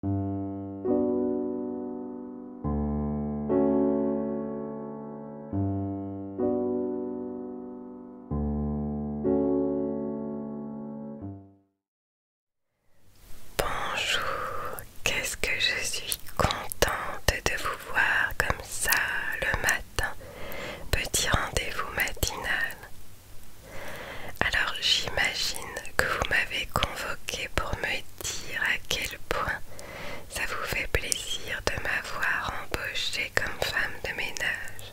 Bonjour, qu'est-ce que je suis contente de vous voir comme ça le matin. Petit rendez-vous matinal. Alors j'imagine que vous m'avez convoqué pour me dire à quel point ça vous fait plaisir de m'avoir embauchée comme femme de ménage.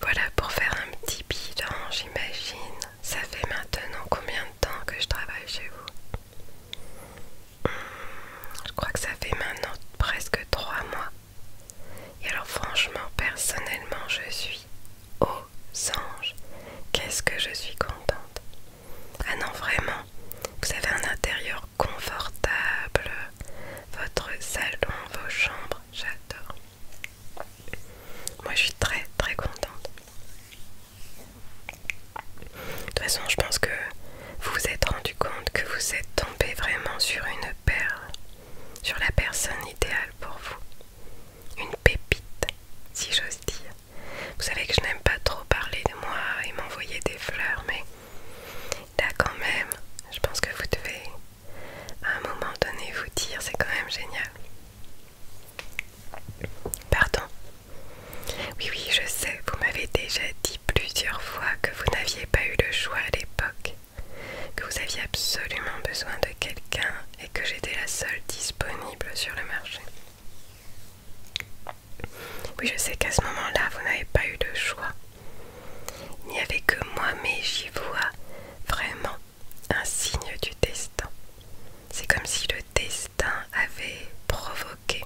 Voilà pour faire un petit bilan, j'imagine. Ça fait maintenant combien de temps que je travaille chez vous hmm, Je crois que ça fait maintenant presque trois mois. Et alors franchement, personnellement, je suis au qu'est-ce que je suis contente. Ah non, vraiment, vous avez un intérieur confortable. Votre salon, vos chambres, j'adore. Moi, je suis très, très contente. De toute façon, je pense que vous vous êtes rendu compte que vous êtes tombé vraiment sur une perle, sur la personne idéale pour vous une pépite, si j'ose dire. Vous savez que je n'aime pas trop parler de moi et m'envoyer des fleurs, mais là quand même, je pense que vous devez à un moment donné vous dire, c'est quand même génial. Pardon. Oui, oui, je sais, vous m'avez déjà dit plusieurs fois que vous n'aviez pas eu le choix à l'époque, que vous aviez absolument besoin de quelqu'un et que j'étais la seule disponible sur le marché. Oui, je sais qu'à ce moment-là, vous n'avez pas eu de choix. Il n'y avait que moi, mais j'y vois vraiment un signe du destin. C'est comme si le destin avait provoqué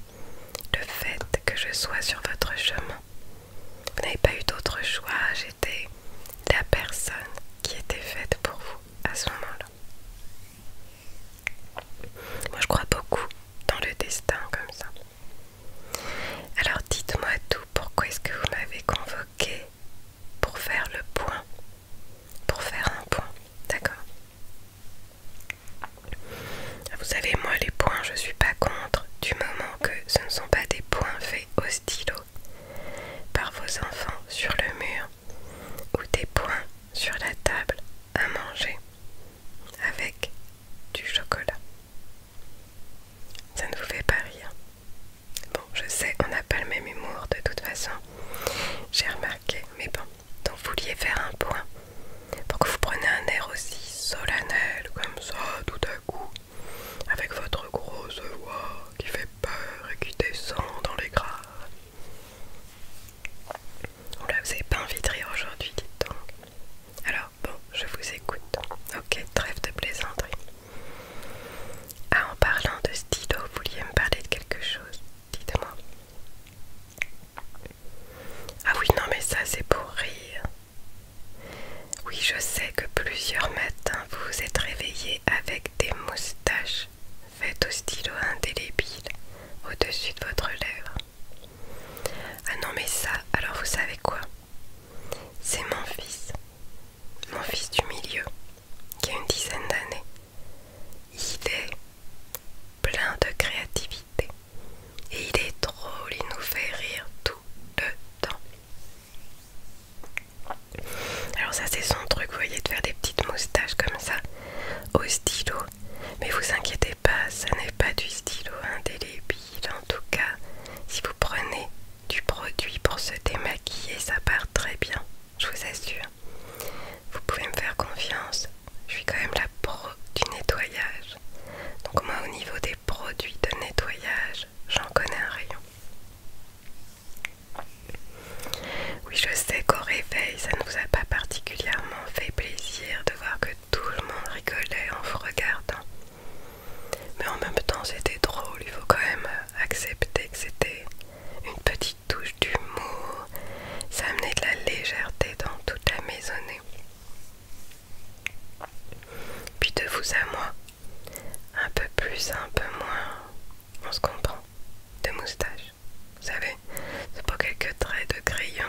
le fait que je sois sur votre chemin. Vous n'avez pas eu d'autre choix, j'étais la personne qui était faite pour vous à ce moment-là. Moi je crois beaucoup dans le destin comme ça. Alors dites-moi tout, pourquoi est-ce que vous m'avez convoqué pour faire le point Pour faire un point, d'accord ah, Vous savez, moi les points, je suis pas contre du moment que ce ne sont pas des points faits au stylo par vos enfants sur le mur ou des points sur la table à manger avec du chocolat. Ça ne vous fait pas rire. Bon, je sais, on n'a pas le même humour de toute façon. J'ai remarqué, mais bon, donc vous vouliez faire un point pour que vous preniez un air aussi solennel comme ça tout à coup, avec votre grosse voix qui fait peur et qui descend dans les gras. Oula, oh vous n'avez pas envie de rire aujourd'hui, dites donc. Alors, bon, je vous écoute. Ok, trêve de plaisanterie. Ah, en parlant de stylo, vous vouliez me parler de quelque chose Dites-moi. Ah oui, non, mais ça, c'est pour rire. Oui, je sais que plusieurs matins, vous vous êtes réveillé avec des moustaches Faites au stylo indélébile au-dessus de votre lèvre. Ah non mais ça, alors vous savez quoi C'est mon fils, mon fils du milieu, qui a une dizaine d'années. Il est plein de créativité et il est drôle, il nous fait rire tout le temps. Alors ça c'est son truc, vous voyez, de faire des petites moustaches comme ça au stylo. Mais vous inquiétez pas, ça n'est pas du stylo indélébile. Hein, en tout cas, si vous prenez du produit pour se démaquiller, ça part très bien, je vous assure. Vous pouvez me faire confiance, je suis quand même la pro du nettoyage. Donc moi au niveau des produits de nettoyage, j'en connais un rayon. Oui, je sais qu'au réveil, ça ne vous a pas particulièrement fait plaisir de voir que tout le monde rigolait en vous regardant. Mais en même temps, c'était drôle. Il faut quand même accepter que c'était une petite touche d'humour. Ça amenait de la légèreté dans toute la maisonnée. Puis de vous à moi, un peu plus, un peu moins, on se comprend, de moustache. Vous savez, c'est pas quelques traits de crayon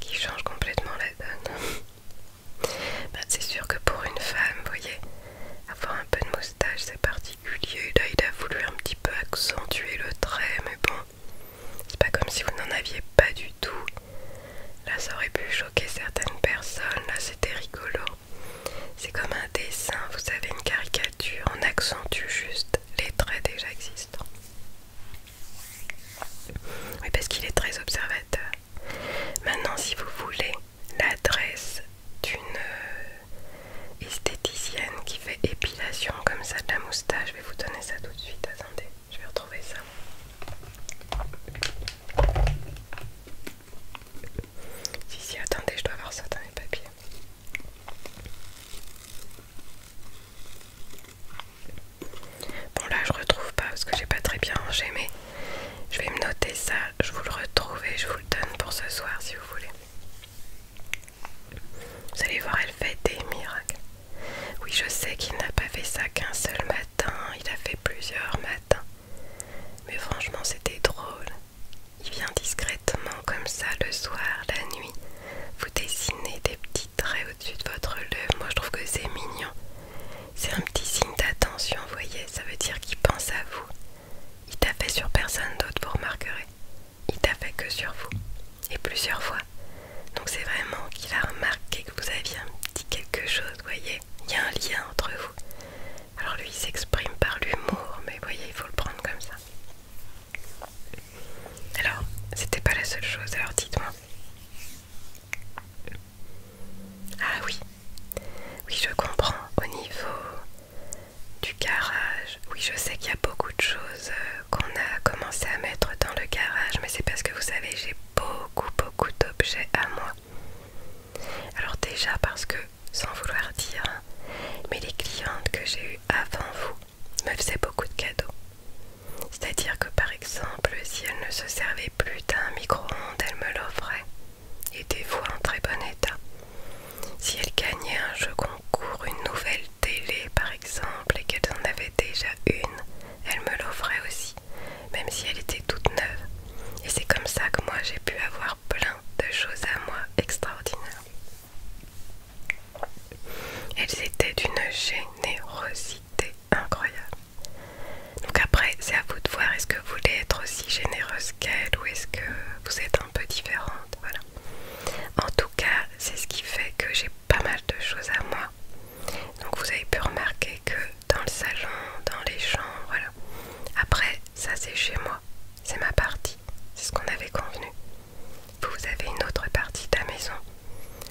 qui changent complètement la donne. Bah, c'est sûr que pour une femme, vous voyez, avoir un peu de moustache c'est particulier. Là, il a voulu un petit peu accentuer le trait, mais bon, c'est pas comme si vous n'en aviez pas du tout. Là, ça aurait pu choquer certaines personnes. Là, c'était rigolo. C'est comme un dessin, vous savez, une caricature en accentue juste les traits déjà existants. Oui, parce qu'il est très observateur. Maintenant, si vous voulez l'adresse d'une euh, esthéticienne qui fait épilation comme ça de la moustache, je vais vous donner ça tout de suite. Attendez, je vais retrouver ça. Si, si, attendez, je dois avoir ça dans les papiers. Bon là je retrouve pas parce que j'ai pas très bien rangé mais je vais me noter ça, je vous le retrouve et je vous le donne pour ce soir si vous voulez. Vous allez voir elle fait des miracles. Oui je sais qu'il n'a pas fait ça qu'un seul matin, il a fait plusieurs matins. Mais franchement c'était drôle. Il vient discrètement comme ça le soir, la nuit. Vous dessinez des petits traits au-dessus de votre lèvre. Moi je trouve que c'est mignon. C'est un petit signe d'attention, voyez. Ça veut dire qu'il pense à vous. Il t'a fait sur personne d'autre, vous remarquerez. Il t'a fait que sur vous. Et plusieurs fois. Donc c'est vraiment qu'il a remarqué que vous aviez un petit quelque chose, voyez. Il y a un lien entre vous. Alors lui il s'exprime par l'humour, mais voyez, il faut le prendre comme ça. Alors, c'était pas la seule chose, alors dites-moi. Ah oui, oui, je comprends. Au niveau du garage, oui, je sais qu'il y a beaucoup de choses euh, qu'on a commencé à mettre dans le garage, mais c'est parce que vous savez, j'ai beaucoup, beaucoup d'objets à moi. Alors déjà parce que sans vouloir dire, mais les clientes que j'ai eues avant vous me faisaient beaucoup de cadeaux. C'est-à-dire que par exemple, si elles ne se servaient plus d'un micro-ondes, elles me l'offraient, et des fois en très bon état. Si elles gagnaient un jeu concours, une nouvelle télé par exemple, et qu'elles en avaient déjà une, elles me l'offraient aussi, même si elle était toute neuve. Et c'est comme ça que moi j'ai pu avoir plein de choses à moi extraordinaires. Elles étaient d'une générosité incroyable. Donc après, c'est à vous de voir, est-ce que vous voulez être aussi généreuse qu'elle ou est-ce que vous êtes un peu différente, En tout cas, c'est ce qui fait que j'ai pas mal de choses à moi. Donc vous avez pu remarquer que dans le salon, dans les chambres, voilà. Après, ça c'est chez moi, c'est ma partie, c'est ce qu'on avait convenu. Vous, vous avez une autre partie de la maison.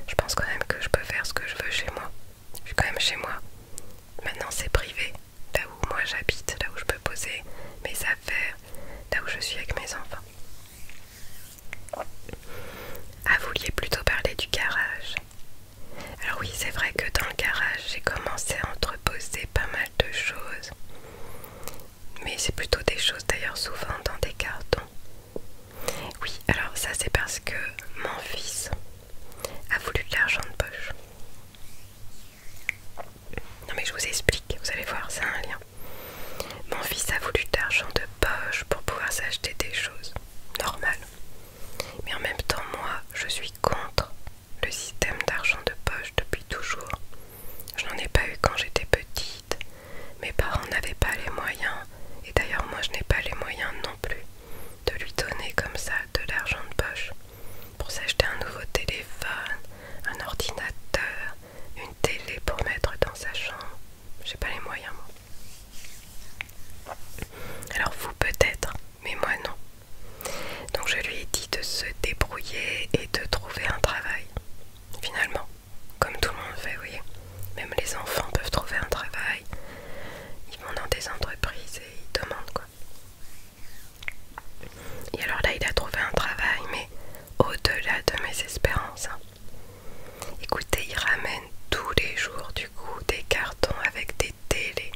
Je pense quand même que je peux faire ce que je veux chez moi. Je suis quand même chez moi. Maintenant c'est privé, là où moi j'habite, là où je peux poser mes affaires, là où je suis avec mes enfants. Ah, vous vouliez plutôt parler du garage. Alors oui, c'est vrai que dans le garage, j'ai commencé à entreposer pas mal de choses mais c'est plutôt des choses d'ailleurs souvent dans des cartons. Oui, alors ça c'est parce que mon fils a voulu de l'argent de poche. Non mais je vous explique, vous allez voir, c'est un lien. Mon fils a voulu de l'argent de poche pour pouvoir s'acheter des choses normal. Mais en même temps, moi, je suis contre le système d'argent de poche depuis toujours. Je n'en ai pas eu quand j'étais petite. Mes parents n'avaient pas les moyens, et d'ailleurs moi je n'ai pas les moyens non plus, de lui donner comme ça de l'argent de poche pour s'acheter un nouveau téléphone, un ordinateur, une télé pour mettre dans sa chambre. Je n'ai pas les moyens moi. Alors vous peut-être, mais moi non. Donc je lui ai dit de se débrouiller et de trouver un travail finalement, comme tout le monde fait, oui. Même les enfants peuvent trouver un travail, ils vont dans des entreprises et ils demandent quoi. Et alors là, il a trouvé un travail, mais au-delà de mes espérances. Hein. Écoutez, il ramène tous les jours du coup des cartons avec des télés,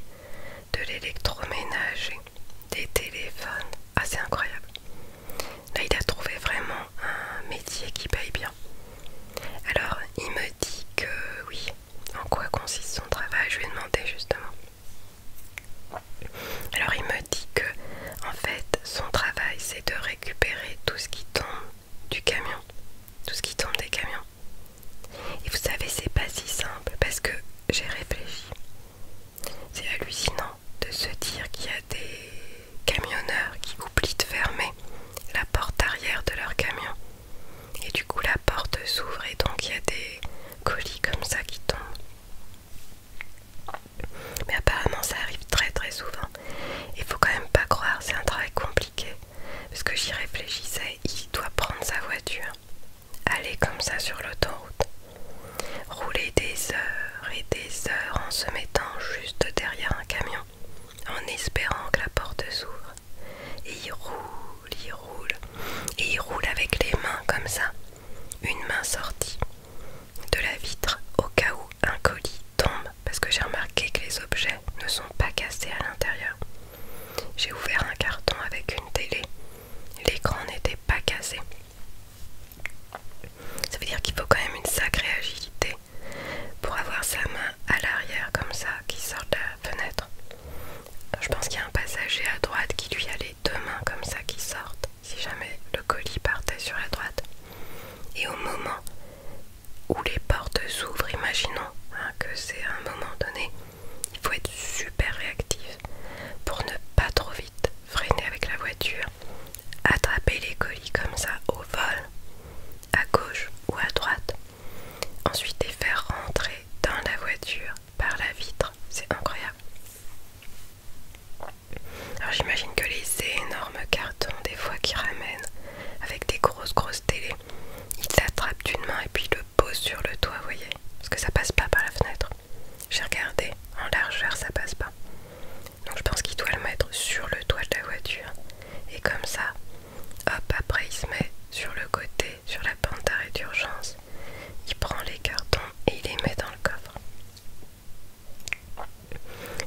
de l'électroménager, des téléphones assez ah, incroyable Là, il a trouvé vraiment un métier qui paye bien. Alors, il me dit que oui, en quoi consiste son travail, je lui ai demandé justement. Alors, il me dit que, en fait, son travail, c'est de récupérer tout ce qui tombe du camion, tout ce qui tombe des camions. Et vous savez, c'est pas si simple parce que j'ai réfléchi. C'est hallucinant de se dire qu'il y a des camionneurs qui oublient de fermer la porte arrière de leur camion. Et du coup la porte s'ouvre et donc il y a des colis comme ça qui tombent. Mais apparemment ça arrive très très souvent. Il faut quand même pas croire, c'est un travail compliqué. Parce que j'y réfléchissais, il doit prendre sa voiture, aller comme ça sur l'autoroute, Rouler des heures et des heures en se mettant juste derrière un camion, en espérant que la porte s'ouvre. Et il roule, il roule, et il roule avec les mains comme ça, une main sortie de la vitre au cas où un colis tombe, parce que j'ai remarqué que les objets ne sont pas cassés à l'intérieur. J'ai ouvert un carton avec une télé, l'écran n'était pas cassé. Ça veut dire qu'il faut quand même une sacrée agilité pour avoir sa main à l'arrière comme ça qui sort de la fenêtre. Je pense qu'il y a un passager à droite qui lui allait les deux mains comme ça qui sortent si jamais le colis partait sur la droite. Et au moment où les portes s'ouvrent, imaginons hein, que c'est un moment donné, il faut être super réactif pour ne pas trop vite freiner avec la voiture attraper les colis comme ça au vol, à gauche ou à droite, ensuite les faire rentrer dans la voiture par la vitre, c'est incroyable. Alors j'imagine que les énormes cartons des fois qu'ils ramènent avec des grosses grosses télés, ils s'attrapent d'une main et puis le posent sur le toit, vous voyez, parce que ça passe pas par la fenêtre. J'ai regardé, en largeur ça passe pas. Donc je pense qu'il doit le mettre sur le toit de la voiture. Et comme ça, hop, après il se met sur le côté, sur la pente d'arrêt d'urgence. Il prend les cartons et il les met dans le coffre.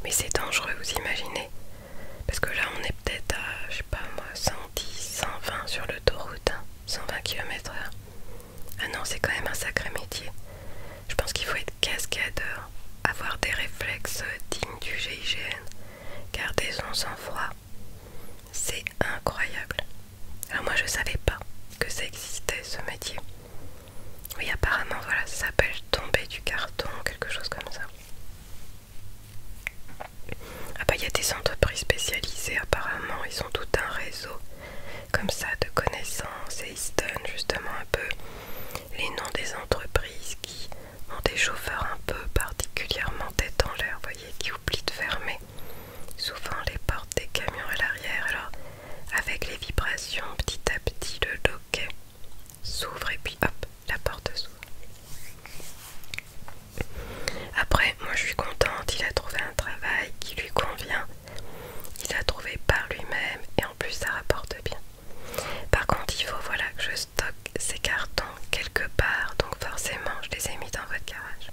Mais c'est dangereux, vous imaginez Parce que là, on est peut-être à, je sais pas moi, 110, 120 sur l'autoroute, 120 hein. km ah non, c'est quand même un sacré métier. Je pense qu'il faut être cascadeur, avoir des réflexes dignes du GIGN, garder son sang-froid. C'est incroyable. Alors moi je savais pas que ça existait ce métier. Oui apparemment voilà, ça s'appelle tomber du carton, quelque chose comme ça. Ah bah il y a des entreprises spécialisées apparemment, ils ont tout un réseau comme ça de connaissances et ils se donnent justement un peu les noms des entreprises qui ont des chauffeurs un peu particulièrement tête en l'air, voyez, qui oublient de fermer souvent les portes des camions à l'arrière. Alors avec les vibrations, petit à petit le loquet s'ouvre et puis hop, la porte s'ouvre. Après, moi je suis contente, il a trouvé un travail qui lui convient. Il l'a trouvé par lui-même et en plus ça rapporte bien. Par contre, il faut voilà que je stocke ces cartons quelque part, donc forcément je les ai mis dans votre garage.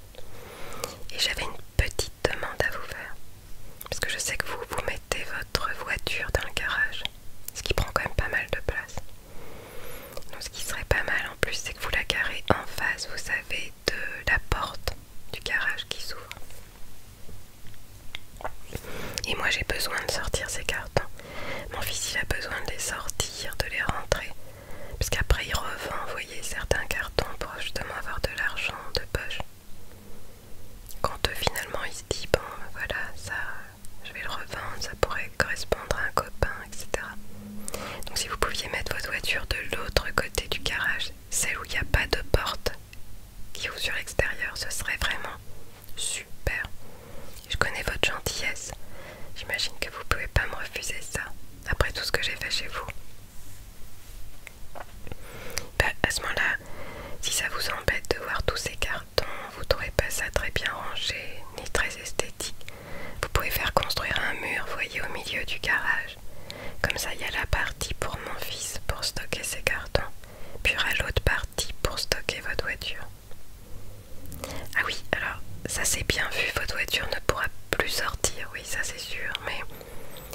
Et j'avais une petite demande à vous faire, parce que je sais que vous vous mettez votre voiture dans le garage, ce qui prend quand même pas mal de place. Donc ce qui serait pas mal en plus, c'est que vous la gariez en face, vous savez, de la porte du garage qui s'ouvre. Et moi j'ai besoin de sortir ces cartons. Mon fils il a besoin de les sortir, de les rentrer. Parce qu'après il revend, vous voyez, certains cartons pour justement avoir de l'argent de poche. Quand euh, finalement il se dit, bon voilà, ça je vais le revendre, ça pourrait correspondre à un copain, etc. Donc si vous pouviez mettre votre voiture de l'autre côté du garage, celle où il n'y a pas de porte, qui vous sur l'extérieur, ce serait vraiment super. Je connais votre gentillesse. J'imagine que vous pouvez pas me refuser ça, après tout ce que j'ai fait chez vous. Bah, à ce moment-là, si ça vous embête de voir tous ces cartons, vous trouvez pas ça très bien rangé, ni très esthétique. Vous pouvez faire construire un mur, voyez, au milieu du garage. Comme ça, il y a la partie pour mon fils pour stocker ses cartons puis à l'autre partie pour stocker votre voiture. Ah oui, alors ça c'est bien vu, votre voiture ne pourra plus sortir, oui ça c'est sûr, mais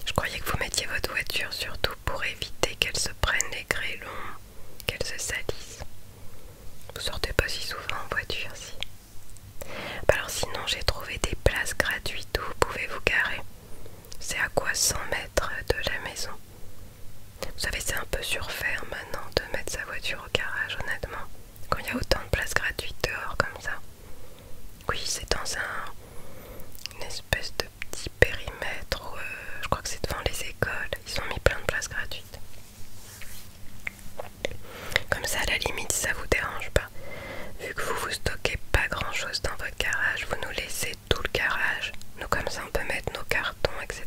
je croyais que vous mettiez votre voiture surtout pour éviter qu'elle se prenne les longs, qu'elle se salisse. Vous sortez pas si souvent en voiture, si. Bah alors sinon j'ai trouvé des places gratuites où vous pouvez vous garer. C'est à quoi 100 mètres de la maison. Vous savez, c'est un peu surfer maintenant de mettre sa voiture au garage, honnêtement. Quand il y a autant de places gratuites dehors comme ça. Oui, c'est dans un une espèce de petit périmètre. Euh, je crois que c'est devant les écoles. Ils ont mis plein de places gratuites. Comme ça, à la limite, ça vous dérange pas. Vu que vous vous stockez pas grand chose dans votre garage, vous nous laissez tout le garage. Nous comme ça on peut mettre nos cartons, etc.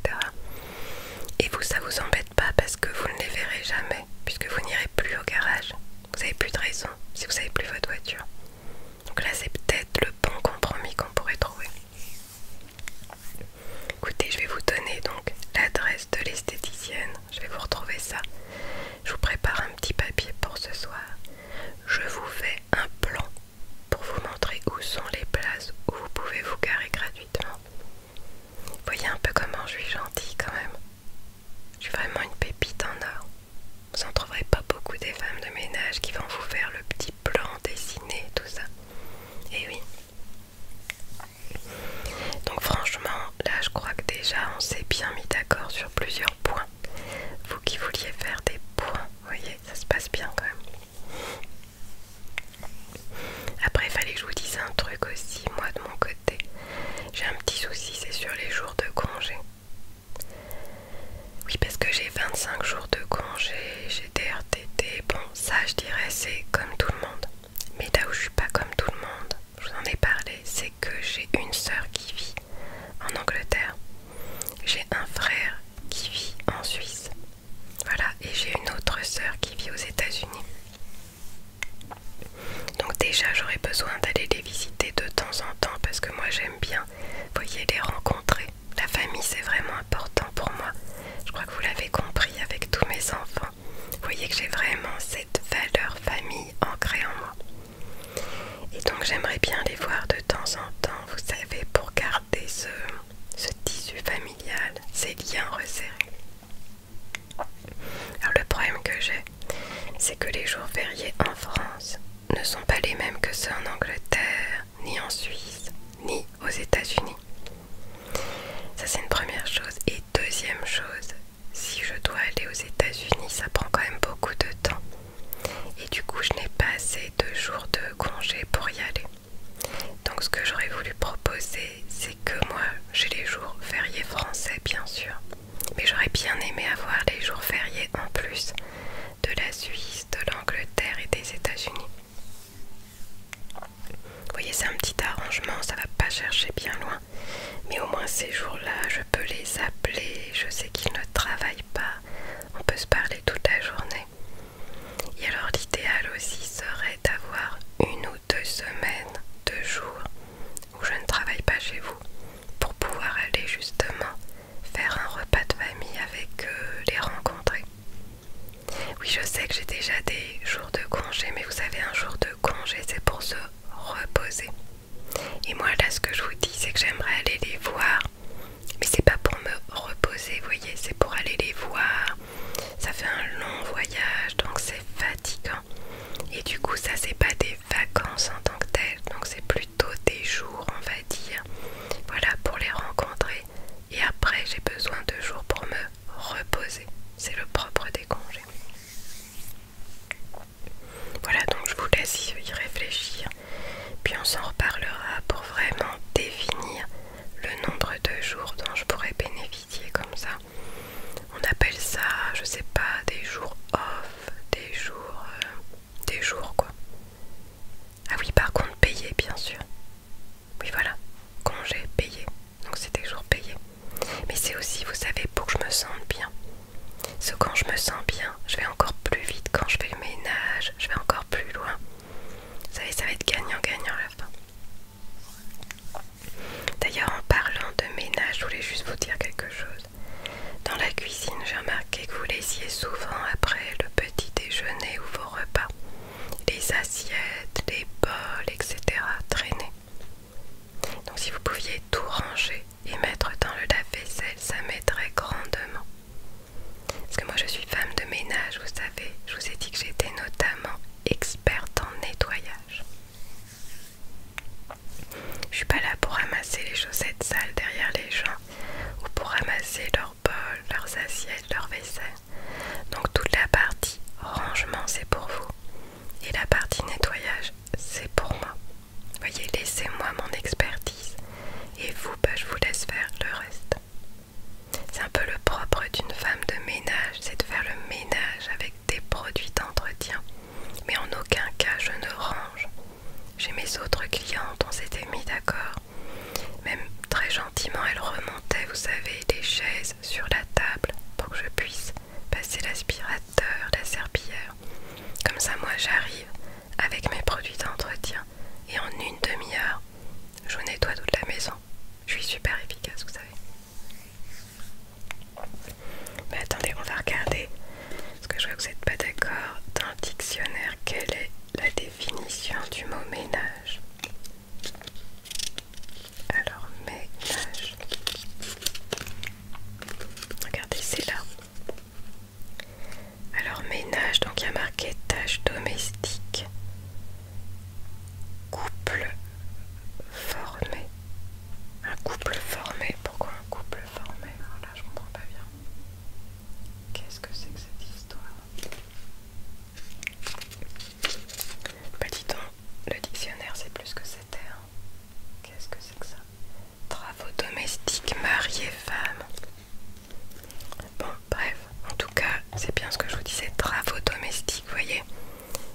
Et vous ça vous embête pas parce que vous ne les verrez jamais, puisque vous n'irez plus au garage. Vous n'avez plus de raison si vous n'avez plus votre voiture. Donc là c'est peut-être le bon compromis qu'on pourrait trouver. Écoutez, je vais vous donner donc l'adresse de l'esthéticienne. Je vais vous retrouver ça. Je vous prépare un petit papier pour ce soir. Je vous fais un plan pour vous montrer où sont les places où vous pouvez vous garer gratuitement. Voyez un peu comment je suis gentille quand même. Je suis vraiment une pépite en or. Vous en trouverez pas beaucoup des femmes de ménage qui vont vous faire le petit plan dessiné, tout ça. Et eh oui. Donc franchement, là je crois que déjà on s'est bien mis d'accord sur plusieurs points. Vous qui vouliez faire des points, voyez, ça se passe bien quand même. Après, il fallait que je vous dise un truc aussi, moi de mon côté. J'ai un petit souci, c'est sur les jours de congé. Oui, parce que j'ai 25 jours de congé, j'ai des RTT. Bon, ça, je dirais, c'est comme tout le monde. Mais là où je suis pas comme tout le monde, je vous en ai parlé, c'est que j'ai une sœur qui vit en Angleterre j'ai un frère qui vit en Suisse. Voilà, et j'ai une autre soeur qui vit aux États-Unis. Donc déjà, j'aurais besoin d'aller les visiter de temps en temps parce que moi j'aime bien, voyez, les rencontrer. La famille, c'est vraiment important pour moi. Je crois que vous l'avez compris avec tous mes enfants. Vous voyez que j'ai vraiment cette valeur famille ancrée en moi. Et donc j'aimerais bien les voir de temps en temps vous savez, pour garder ce, tissu familial, ces liens resserrés. Alors le problème que j'ai, c'est que les jours fériés en France ne sont pas les mêmes que ceux en Angleterre, ni en Suisse, ni aux États-Unis. Ça c'est une première chose. Et deuxième chose, si je dois aller aux États-Unis, ça prend quand même beaucoup de temps. Et du coup, je n'ai pas assez de jours de congé pour y aller. Donc ce que j'aurais voulu proposer, c'est que moi, j'ai les jours fériés français, bien sûr. Mais j'aurais bien aimé avoir les jours fériés en plus de la Suisse, de l'Angleterre et des États-Unis. Vous voyez, c'est un petit arrangement, ça va pas chercher bien loin. Mais au moins ces jours-là, je peux les appeler, je sais qu'ils ne travaillent pas on peut se parler toute la journée. Et alors l'idéal aussi serait d'avoir une ou deux semaines, deux jours où je ne travaille pas chez vous pour pouvoir aller justement faire un repas de famille avec euh, les rencontrer. Oui, je sais que j'ai déjà des jours de congé, mais vous savez, un jour de congé, c'est pour se reposer. Et moi, là, ce que je vous dis, c'est que j'aimerais aller les voir mais c'est pas pour me reposer, vous voyez, c'est pour aller les voir. Ça fait un long voyage, donc c'est fatigant. Et du coup, ça c'est pas des vacances en tant que telles, donc c'est plutôt des jours, on va dire. Voilà, pour les rencontrer. Et après, j'ai besoin de jours pour me reposer. C'est le propre des congés. Voilà, donc je vous laisse y réfléchir. Puis on s'en reparlera pour vraiment définir le nombre de jours dont je pourrais bénéficier comme ça. On appelle ça, je sais pas, des jours off, des jours... Euh, des jours quoi. Ah oui, par contre, payé bien sûr. Oui voilà, congé payé. Donc c'est des jours payés. Mais c'est aussi, vous savez, pour que je me sente bien. Ce quand je me sens bien, je vais encore plus vite quand je fais ménage, je vais encore plus loin. Vous savez, ça va être gagnant-gagnant la fin. D'ailleurs, en parlant de ménage, je voulais juste vous dire quelque chose. Dans la cuisine, j'ai remarqué que vous laissiez souvent après le petit déjeuner ou vos repas les assiettes, les bols, etc. traîner. Donc, si vous pouviez tout ranger et mettre dans le lave-vaisselle, ça m'aiderait grandement. Parce que moi je suis femme de ménage, vous savez, je vous ai dit que j'étais notamment experte en nettoyage. Je suis pas là pour ramasser les chaussettes sales derrière les gens ou pour ramasser leurs bols, leurs assiettes, leurs vaisselles. Donc toute la partie rangement c'est pour vous et la partie nettoyage c'est pour moi. Voyez, laissez-moi mon expertise et vous, bah, je vous laisse faire le reste. C'est un peu le propre d'une femme de ménage, c'est de faire le ménage avec des produits d'entretien. Mais en aucun cas je ne range. Chez mes autres clientes, on s'était mis d'accord. Même très gentiment, elle remontait, vous savez, des chaises sur la table pour que je puisse passer l'aspirateur, la serpillère, Comme ça, moi, j'arrive avec mes produits d'entretien et en une demi-heure, je nettoie toute la maison. Je suis super efficace, vous savez. Mais attendez, on va regarder. Parce que je vois que vous n'êtes pas d'accord. Dans le dictionnaire, quelle est la définition du mot ménage Alors, ménage. Regardez, c'est là. Alors ménage, donc il y a marqué tâches domestique. Couple formé. Un couple formé. Pourquoi un couple formé là, je comprends pas bien. Qu'est-ce que c'est que cette histoire Bah dis donc, le dictionnaire c'est plus que c'était. Qu'est-ce que c'est que ça Travaux domestiques, mariés, femme Bon, bref, en tout cas, c'est bien ce que je vous disais, travaux domestiques, vous voyez.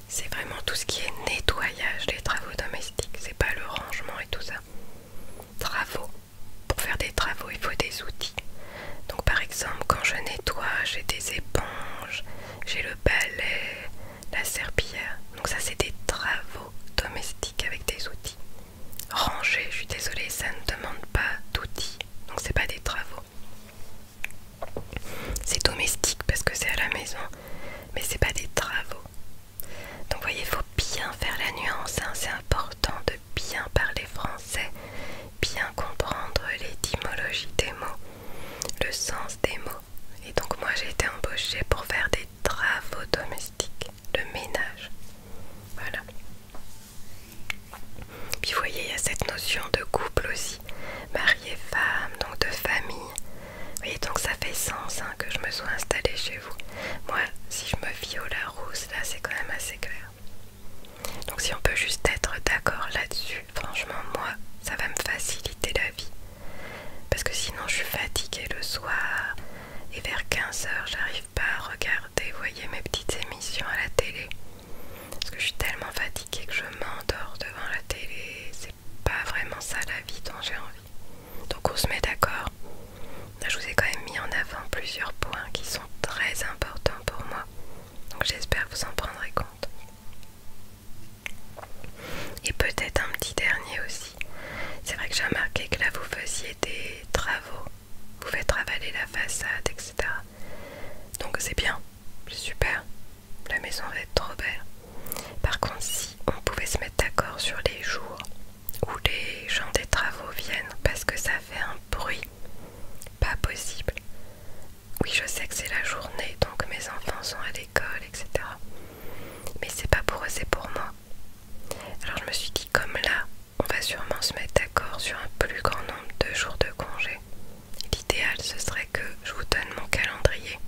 C'est vraiment tout ce qui est nettoyage les travaux domestiques, c'est pas le rangement et tout ça. Travaux. Pour faire des travaux, il faut des outils. Donc par exemple, quand je nettoie, j'ai des éponges, j'ai le balai, la serpillère Donc ça, c'est des travaux domestiques avec des outils ranger. Je suis désolée, ça ne demande pas d'outils, donc c'est pas des travaux. C'est domestique parce que c'est à la maison, mais c'est pas des travaux. Donc vous voyez, il faut bien faire la nuance, hein. c'est important de bien parler français, bien comprendre l'étymologie des mots, le sens des mots. Et donc moi j'ai été embauchée pour faire des travaux domestiques, le ménage. Voilà. Puis vous voyez, il y a cette notion de couple aussi, marié femme, donc de famille. Vous voyez, donc ça fait sens hein, que je me sois installée chez vous. Moi, si je me fie au Rousse, là c'est quand même assez clair. Donc si on peut juste être d'accord là-dessus, franchement, moi, ça va me faciliter la vie. Parce que sinon je suis fatiguée le soir et vers 15h, j'arrive pas regarder, voyez, mes petites émissions à la télé. Parce que je suis tellement fatiguée que je m'endors devant la télé. C'est pas vraiment ça la vie dont j'ai envie. Donc on se met d'accord. Je vous ai quand même mis en avant plusieurs points qui sont très importants pour moi. Donc j'espère que vous en prendrez compte. Et peut-être un petit dernier aussi. C'est vrai que j'ai remarqué que là vous faisiez des travaux vous faites travailler la façade, etc. Donc c'est bien, c'est super, la maison va être trop belle. Par contre, si on pouvait se mettre d'accord sur les jours où les gens des travaux viennent, parce que ça fait un bruit, pas possible. Oui, je sais que c'est la journée, donc mes enfants sont à l'école, etc. Mais c'est pas pour eux, c'est pour moi. Alors je me suis dit, comme là, on va sûrement se mettre d'accord sur un plus grand nombre de jours de congé. L'idéal, ce serait que je vous donne mon calendrier,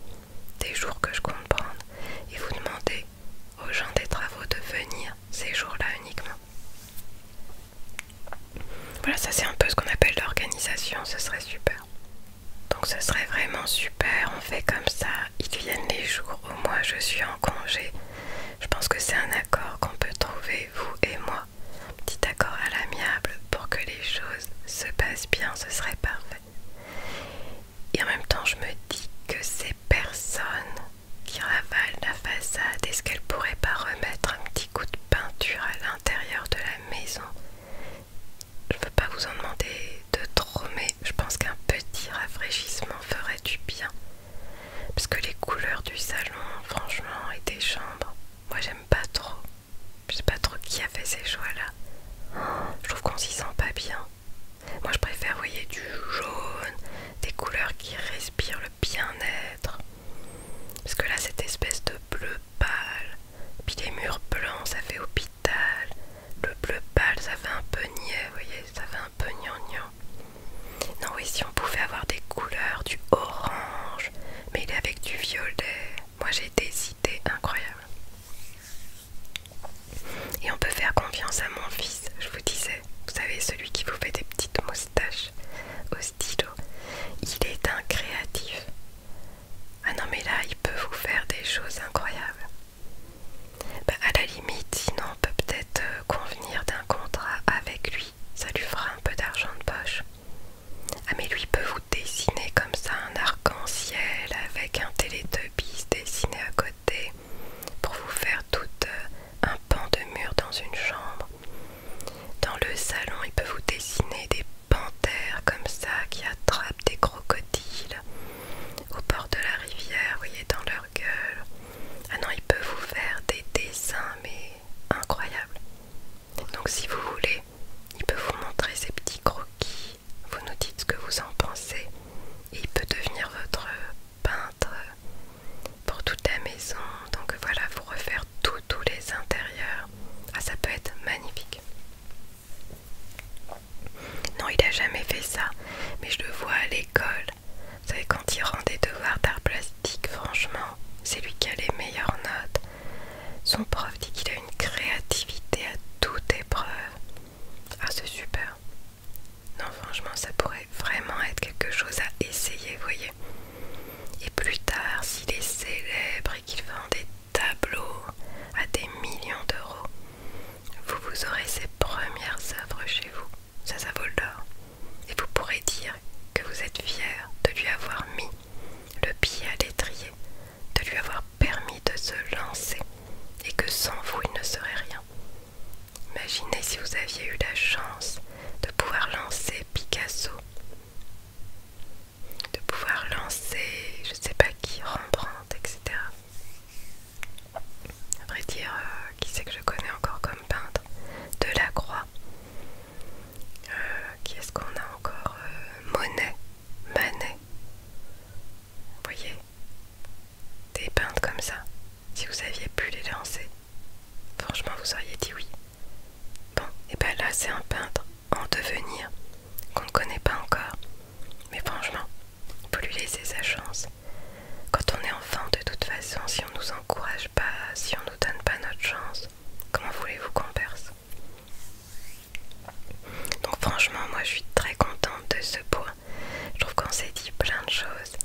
des jours que je compte prendre, et vous demandez aux gens des travaux de venir ces jours-là uniquement. Voilà, ça c'est un peu ce qu'on appelle l'organisation, ce serait super. Donc ce serait vraiment super, on fait comme ça, ils viennent les jours où moi je suis en congé. Je pense que c'est un accord qu'on peut trouver vous et moi. Petit accord à l'amiable pour que les choses se passent bien, ce serait parfait. Et en même temps, je me dis que ces personnes qui ravalent la façade, est-ce qu'elles pourraient pas remettre un petit coup de peinture à l'intérieur de la maison Je ne veux pas vous en demander de trop, mais je pense qu'un petit rafraîchissement ferait du bien. Parce que les couleurs du salon, franchement, et des chambres, moi j'aime pas trop. Je sais pas trop qui a fait ces choix-là. Je trouve qu'on s'y sent pas bien. Moi je préfère, vous voyez, du jaune, des couleurs qui respirent le bien-être. Parce que là, cette espèce de bleu pâle, puis les murs blancs, ça fait hôpital. Le bleu pâle, ça fait un peu niais, vous voyez, ça fait non, oui, si on pouvait avoir des couleurs, du orange, mais il est avec du violet. Moi j'ai des idées incroyables. Et on peut faire confiance à mon fils, je vous disais. Vous savez, celui qui vous fait des petites moustaches au stylo. Il est un créatif. Ah non, mais là, il peut vous faire des choses incroyables. Bah, à la limite, sinon, on peut peut-être euh, convenir d'un contrat avec lui ça lui fera un peu d'argent de poche. Ah mais lui peut vous dessiner comme ça un arc-en-ciel avec un télétubbies dessiné à côté pour vous faire tout euh, un pan de mur dans une chambre. Dans le salon, il peut vous dessiner des panthères comme ça qui attrapent des crocodiles au bord de la rivière, vous voyez, dans leur gueule. Ah non, il peut vous faire des dessins mais incroyable. Donc si vous voulez, il peut vous montrer ses petits croquis, vous nous dites ce que vous en pensez, et il peut devenir votre peintre pour toute la maison. Donc voilà, vous refaire tout, tous les intérieurs. Ah, ça peut être magnifique. Non, il a jamais fait ça, mais je le vois à l'école vous savez, quand il rend des devoirs d'art plastique, franchement, c'est lui qui a les meilleures notes. Son prof dit qu'il a une créativité à toute épreuve. Ah, c'est super. Non, franchement, ça pourrait vraiment être quelque chose à essayer, voyez. Et plus tard, s'il est célèbre et qu'il vend des tableaux à des millions d'euros, vous vous aurez ses premières œuvres chez vous. Ça, ça vaut le et vous pourrez dire que vous êtes fier de lui avoir mis le pied à l'étrier, de lui avoir permis de se lancer et que sans vous il ne serait rien. Imaginez si vous aviez eu la chance de pouvoir lancer Picasso, de pouvoir lancer je ne sais pas qui, Rembrandt, etc. À vrai dire, euh, qui c'est que je connais encore comme peintre Delacroix, euh, quest est-ce qu'on a encore euh, Monet, Manet. Vous voyez Des peintres comme ça. Si vous aviez pu les lancer, franchement, vous auriez dit oui. Bon, et ben là, c'est un peintre en devenir qu'on ne connaît pas encore. Mais franchement, il faut lui laisser sa chance. Quand on est enfant, de toute façon, si on nous encourage pas, si on donne pas notre chance, comment voulez-vous qu'on perce Donc franchement, moi je suis très contente de ce point. Je trouve qu'on s'est dit plein de choses.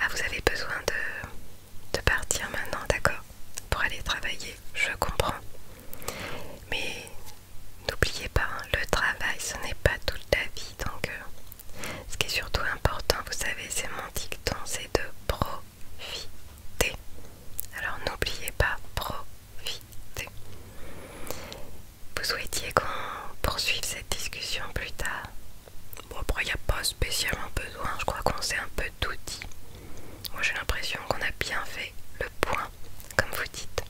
Ah, vous avez besoin de, partir maintenant, d'accord Pour aller travailler, je comprends. Mais n'oubliez pas, hein, le travail, ce n'est pas toute la vie. Donc, euh, ce qui est surtout important, vous savez, c'est mon dicton, c'est de pro alors n'oubliez pas profiter. Vous souhaitiez qu'on poursuive cette discussion plus tard Bon, après, il n'y a pas spécialement besoin. Je crois qu'on s'est un peu tout dit. Moi, j'ai l'impression qu'on a bien fait le point, comme vous dites.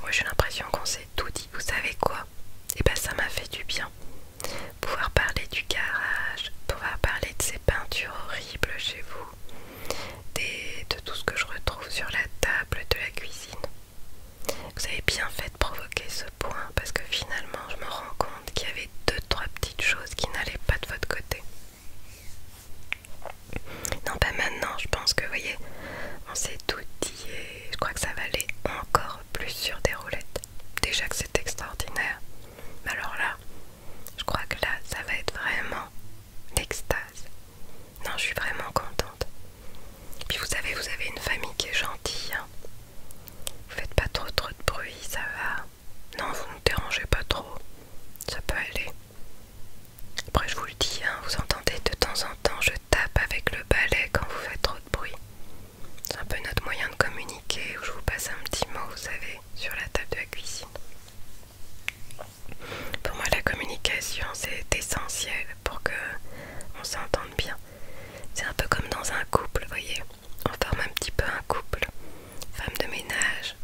Moi, j'ai l'impression qu'on s'est tout dit. Vous savez quoi Et eh ben, ça m'a fait du bien pouvoir parler du garage, pouvoir parler de ces peintures horribles chez vous, des, de tout ce que je retrouve sur la table de la cuisine. Vous avez bien fait de provoquer ce point parce que finalement je me rends compte qu'il y avait deux trois petites choses qui n'allaient pas de votre côté. Non pas maintenant, je pense que vous voyez, on s'est tout dit et je crois que ça va aller encore plus sur des roulettes déjà que c'est extraordinaire. Mais alors là, je crois que là, ça va être vraiment l'extase. Non, je suis vraiment contente. Puis vous savez, vous avez une famille qui est gentille. Vous hein. vous faites pas trop trop de bruit, ça va. Non, vous ne dérangez pas trop. Ça peut aller. Après, je vous le dis, hein, vous entendez de temps en temps, je tape avec le balai quand vous faites trop de bruit. C'est un peu notre moyen de communiquer où je vous passe un petit mot, vous savez, sur la table de la cuisine. Pour moi, la communication, c'est essentiel pour que on s'entende bien. C'est un peu comme dans un couple, vous voyez. On forme un petit peu un couple. Femme de ménage,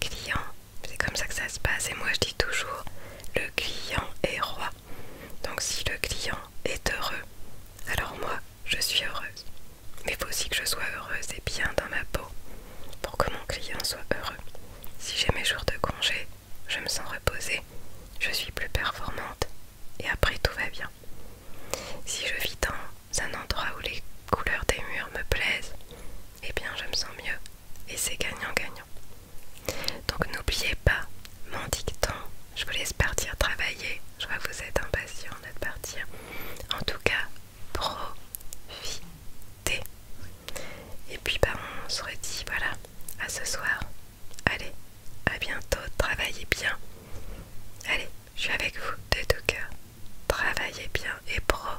client. C'est comme ça que ça se passe. Et moi, je dis toujours, le client est roi. Donc si le client est heureux, alors moi, je suis heureuse. Mais il faut aussi que je sois heureuse et bien dans ma peau pour que mon client soit heureux. Si j'ai mes jours de congé, je me sens reposée, je suis plus performante et après tout va bien. Si je vis dans un endroit où les couleurs des murs me plaisent, eh bien je me sens mieux et c'est gagnant-gagnant. Donc n'oubliez pas mon dicton je vous laisse partir travailler. Je vois que vous êtes impatients de partir. En tout cas, profitez. Et puis, bah, on se redit, voilà, à ce soir. Allez, à bientôt. Travaillez bien. Allez, je suis avec vous de tout cœur. Travaillez bien et profitez.